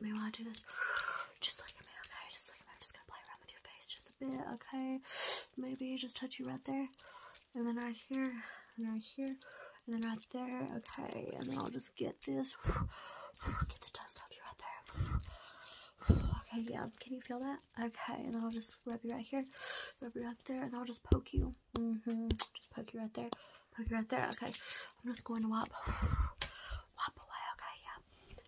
Maybe wanna do this, just look at me, okay? Just look at me. I'm just gonna play around with your face just a bit, okay? Maybe just touch you right there, and then right here, and right here, and then right there, okay? And then I'll just get this, get the dust off you right there. Okay, yeah. Can you feel that? Okay, and I'll just rub you right here, rub you right there, and I'll just poke you. Mhm. just poke you right there poke right there. Okay, I'm just going to wipe, wipe away. Okay, yeah,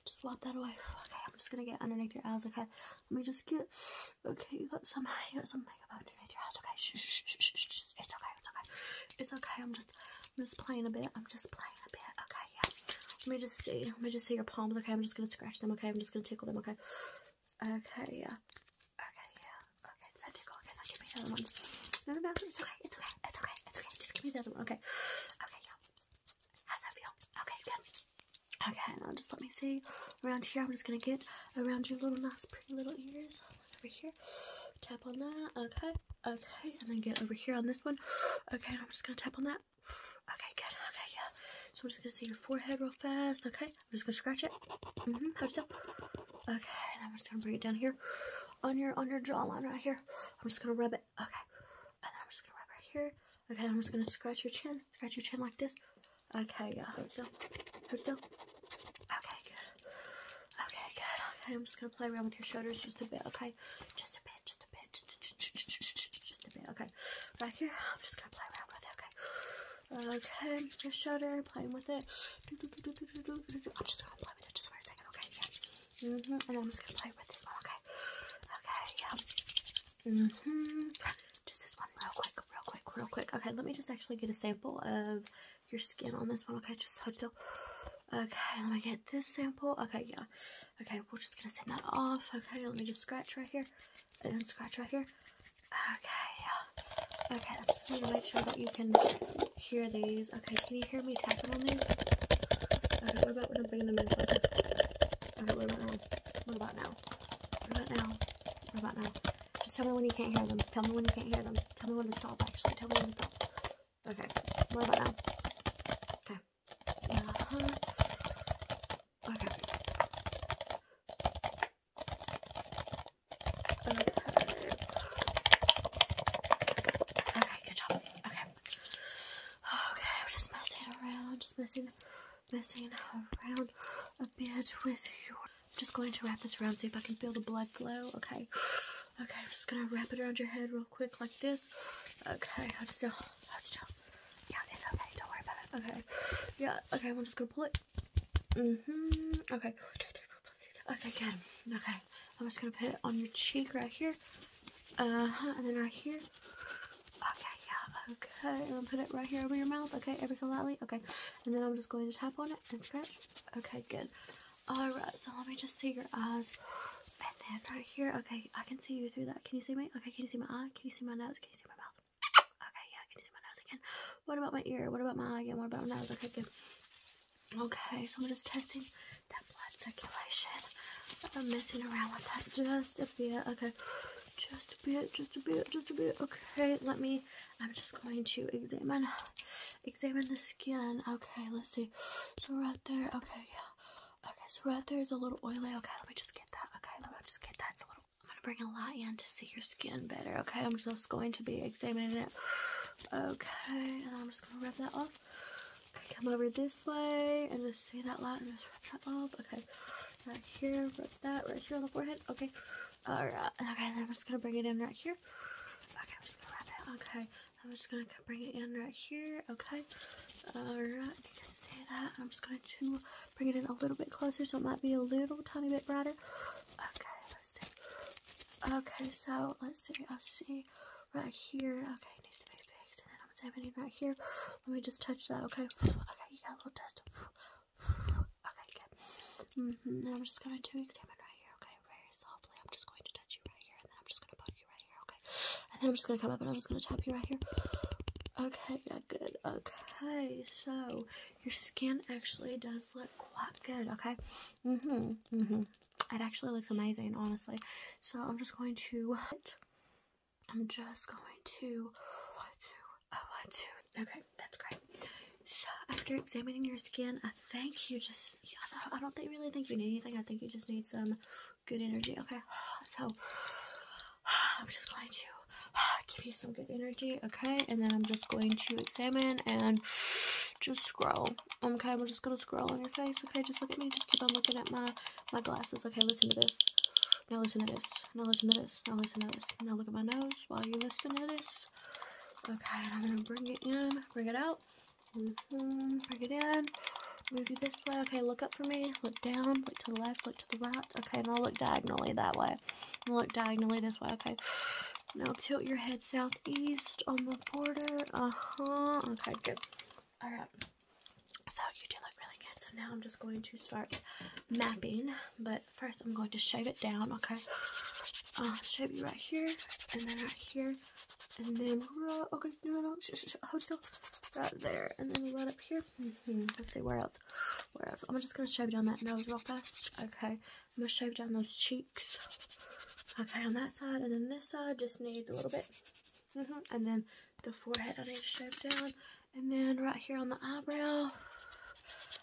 just wipe that away. Okay, I'm just gonna get underneath your eyes. Okay, let me just get. Okay, you got some, you got some makeup underneath your eyes. Okay, It's okay, it's okay, it's okay. I'm just, I'm just playing a bit. I'm just playing a bit. Okay, yeah. Let me just see. Let me just see your palms. Okay, I'm just gonna scratch them. Okay, I'm just gonna tickle them. Okay. Okay, yeah. Okay, yeah. Okay, it's Okay, give me another one. No, no, no. It's okay. It's okay. It's okay. It's okay. Just give me the other one. Okay. Okay, How's that feel? Okay, good. Okay, now just let me see. Around here, I'm just gonna get around your little nice, pretty little ears. Over here. Tap on that. Okay. Okay, and then get over here on this one. Okay, I'm just gonna tap on that. Okay, good. Okay, yeah. So I'm just gonna see your forehead real fast. Okay, I'm just gonna scratch it. hmm Hold still. Okay, and I'm just gonna bring it down here on your on your jawline right here. I'm just gonna rub it. Okay. And then I'm just gonna rub right here. Okay, I'm just gonna scratch your chin. Scratch your chin like this. Okay, yeah. Hold still. Hold still. Okay, good. Okay, good. Okay, I'm just gonna play around with your shoulders just a bit, okay? Just a bit, just a bit, just a, just a bit, okay. Right here, I'm just gonna play around with it, okay? Okay, your shoulder, playing with it. I'm just okay? hmm okay? Okay, yeah. hmm Just this one real quick, real quick, real quick. Okay, let me just actually get a sample of your skin on this one, okay? Just hold still. Okay, let me get this sample. Okay, yeah. Okay, we're just gonna send that off. Okay, let me just scratch right here. And scratch right here. Okay. Okay, I just need to make sure that you can hear these. Okay, can you hear me tapping on these? Okay, what about now? What about now? What about now? Just tell me when you can't hear them. Tell me when you can't hear them. Tell me when to stop, actually. Tell me when to stop. Okay, what about now? Okay. Uh-huh. Okay. Okay. good job. Okay. Okay, I'm just messing around, just messing messing around a bit with you. I'm just going to wrap this around, see if I can feel the blood flow. Okay. Okay, I'm just gonna wrap it around your head real quick like this. Okay, hold still, hold still. Yeah, it's okay, don't worry about it. Okay. Yeah, okay, I'm just gonna pull it Mm-hmm. Okay. Okay, good. Okay. I'm just gonna put it on your cheek right here. Uh-huh, and then right here. Okay, yeah, okay. And i put it right here over your mouth, okay? Every so lightly, okay. And then I'm just going to tap on it and scratch. Okay, good. Alright, so let me just see your eyes. And then right here, okay, I can see you through that. Can you see me? Okay, can you see my eye? Can you see my nose? Can you see my mouth? Okay, yeah, can you see my nose again? What about my ear? What about my eye again? What about my nose? Okay, good. Okay, so I'm just testing that blood circulation. I'm messing around with that just a bit. Okay, just a bit, just a bit, just a bit. Okay, let me, I'm just going to examine, examine the skin. Okay, let's see. So right there, okay, yeah. Okay, so right there is a little oily. Okay, let me just get that. Okay, let me just get that. It's a little I'm gonna bring a light in to see your skin better, okay? I'm just going to be examining it. Okay, and I'm just gonna rub that off. Okay, come over this way and just see that light and just rub that off. Okay, right here, rub that right here on the forehead. Okay, all right. Okay, then I'm just gonna bring it in right here. Okay, I'm just going it. Okay, I'm just gonna bring it in right here. Okay, all right. You can see that. I'm just going to Bring it in a little bit closer so it might be a little tiny bit brighter. Okay, let's see. Okay, so let's see. I see right here. Okay, needs to be fixed. And then I'm zapping in right here. Let me just touch that, okay? Okay, you got a little dust. Okay, good. -hmm. And I'm just going to examine right here, okay? Very softly. I'm just going to touch you right here. And then I'm just going to poke you right here, okay? And then I'm just going to come up and I'm just going to tap you right here. Okay, good. Okay, so your skin actually does look quite good, okay? hmm hmm It actually looks amazing, honestly. So I'm just going to I'm just going to what to oh to okay, that's great. So after examining your skin, I think you just yeah, I don't think really think you need anything. I think you just need some good energy. Okay. So I'm just going to give you some good energy, okay? And then I'm just going to examine and just scroll, okay? We're just going to scroll on your face, okay? Just look at me. Just keep on looking at my, my glasses, okay? Listen to this. Now listen to this. Now listen to this. Now listen to this. Now look at my nose while you listen to this. Okay, I'm going to bring it in, bring it out. Mm-hmm. bring it in. Move you this way. Okay, look up for me. Look down. Look to the left. Look look to the right. Okay, now look diagonally that way. look diagonally this way. Okay. Now tilt your head southeast on the border. Uh-huh. Okay, good. Alright. So you do look really good. So now I'm just going to start mapping. But first I'm going to shave it down. Okay. Uh, shave you right here. And then right here. And then, uh, okay. Okay, no, no, no. Shh, shh, shh. Hold still. Right there. And then right up here. Mm -hmm. Let's see, where else? Where else? I'm just going to shave down that nose real fast. Okay. I'm going to shave down those cheeks. Okay, on that side. And then this side just needs a little bit. Mm -hmm. And then the forehead I need to shave down. And then right here on the eyebrow.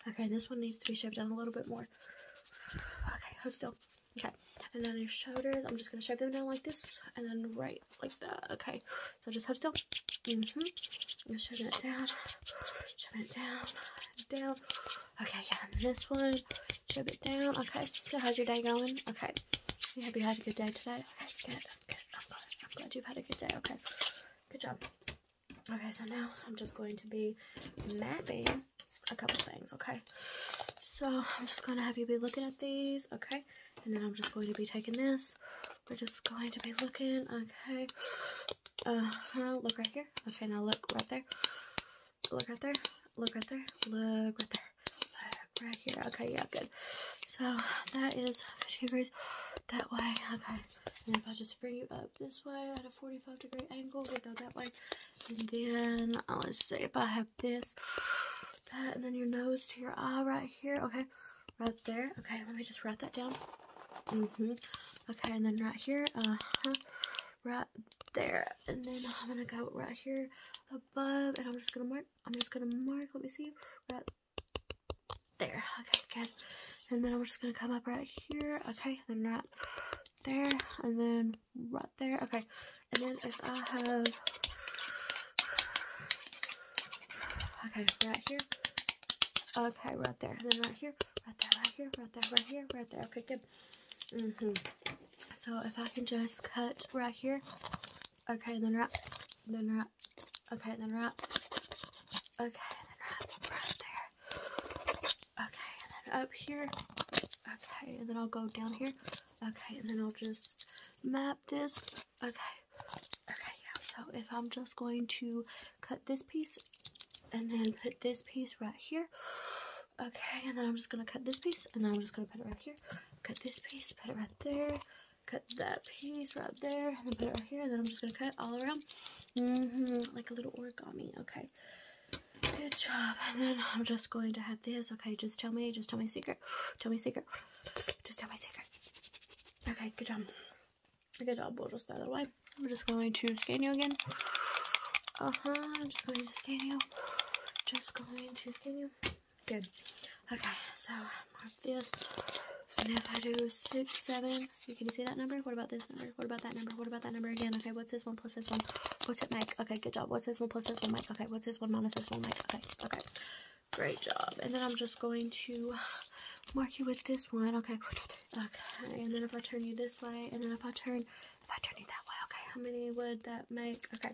Okay, this one needs to be shaved down a little bit more. Okay, hold still. Okay, and then your shoulders, I'm just going to shave them down like this, and then right right like that. Okay, so just hold still. Mm hmm. I'm shoving it down, shoving it down, down. Okay, yeah, and this one, shove it down. Okay, so how's your day going? Okay, you have you had a good day today? Okay, good, good. I'm glad, I'm glad you've had a good day. Okay, good job. Okay, so now I'm just going to be mapping a couple things. Okay, so I'm just gonna have you be looking at these. Okay, and then I'm just going to be taking this we're just going to be looking okay uh look right here okay now look right there look right there look right there look right there right here okay yeah good so that is 50 degrees that way okay and if I just bring you up this way at a 45 degree angle we go that way and then I'll uh, just see if I have this that, and then your nose to your eye right here. Okay, right there. Okay, let me just write that down. hmm Okay, and then right here. Uh huh. Right there, and then I'm gonna go right here above, and I'm just gonna mark. I'm just gonna mark. Let me see. Right there. Okay, good. And then I'm just gonna come up right here. Okay, and right there, and then right there. Okay, and then if I have, okay, right here, okay, right there, and then right here, right there, right here, right there, right here, Okay, good. hmm So if I can just cut right here, okay, then wrap, then right, okay, then wrap. okay, then right, right there, okay, and then up here, okay, and then I'll go down here. Okay, and then I'll just map this. Okay. Okay, yeah. So if I'm just going to cut this piece and then put this piece right here. Okay, and then I'm just going to cut this piece and then I'm just going to put it right here. Cut this piece, put it right there. Cut that piece right there and then put it right here. And then I'm just going to cut it all around. Mm-hmm, like a little origami. Okay. Good job. And then I'm just going to have this. Okay, just tell me. Just tell me a secret. Tell me a secret. Just tell me a secret. Okay, good job. Good job. We'll just throw that away. We're just going to scan you again. Uh-huh. I'm just going to scan you. Just going to scan you. Good. Okay, so mark this. So now if I do six, seven, you can you see that number? What about this number? What about that number? What about that number again? Okay, what's this one plus this one? What's it make? Okay, good job. What's this one plus this one make? Okay, what's this one minus this one make? Okay, okay. Great job. And then I'm just going to mark you with this one. Okay, okay. And then if I turn you this way, and then if I turn, if I turn you that way, okay, how many would that make? Okay.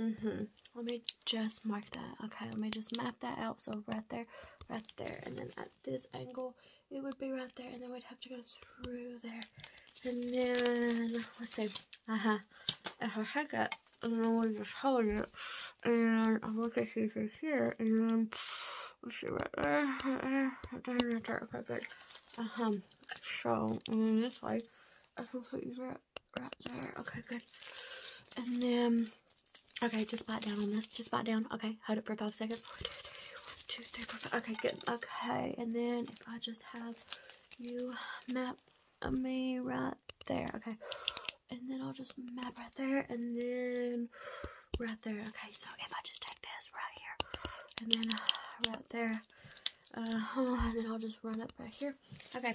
Mm-hmm. Let me just mark that. Okay, let me just map that out. So right there, right there, and then at this angle, it would be right there, and then we'd have to go sprue there. And then, let's see, uh-huh, her uh-huh. head got, and I was just holding it. And I'm looking at she's here, and then, let's see right there, right uh-huh. there, right there, okay, good. Uh-huh, so, and then this way, I can put you right, right there, okay, good. And then, okay, just bite down on this, just bite down, okay, hold it for five seconds two, three, four, five. Okay, good. Okay, and then if I just have you map me right there. Okay, and then I'll just map right there, and then right there. Okay, so if I just take this right here, and then right there, uh, and then I'll just run up right here. Okay.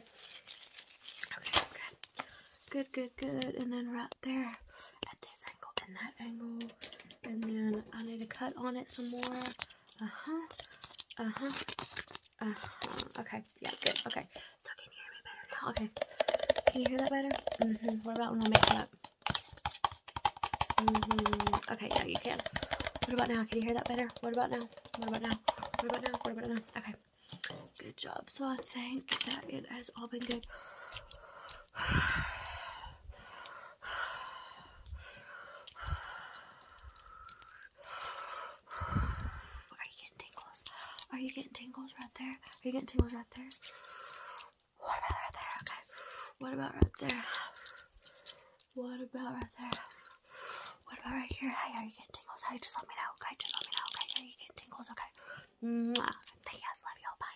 Okay, okay. Good, good, good. And then right there at this angle, and angle and then I need to cut on it some more. Uh-huh. Uh-huh. Uh-huh. Okay. Yeah, good. Okay. So can you hear me better now? Okay. Can you hear that better? hmm What about when I make it hmm Okay, yeah, you can. What about now? Can you hear that better? What about now? What about now? What about now? What about now? Okay. Good job. So I think that it has all been good. Are you getting tingles? Are you getting tingles right there? Are you getting tingles right there? What about right there? Okay. What about right there? What about right there? What about right here? Hey, are you getting tingles? Hey, just let me know. Okay, just let me know. Okay, are you getting tingles? Okay. Mwah. Yes, love you. Bye.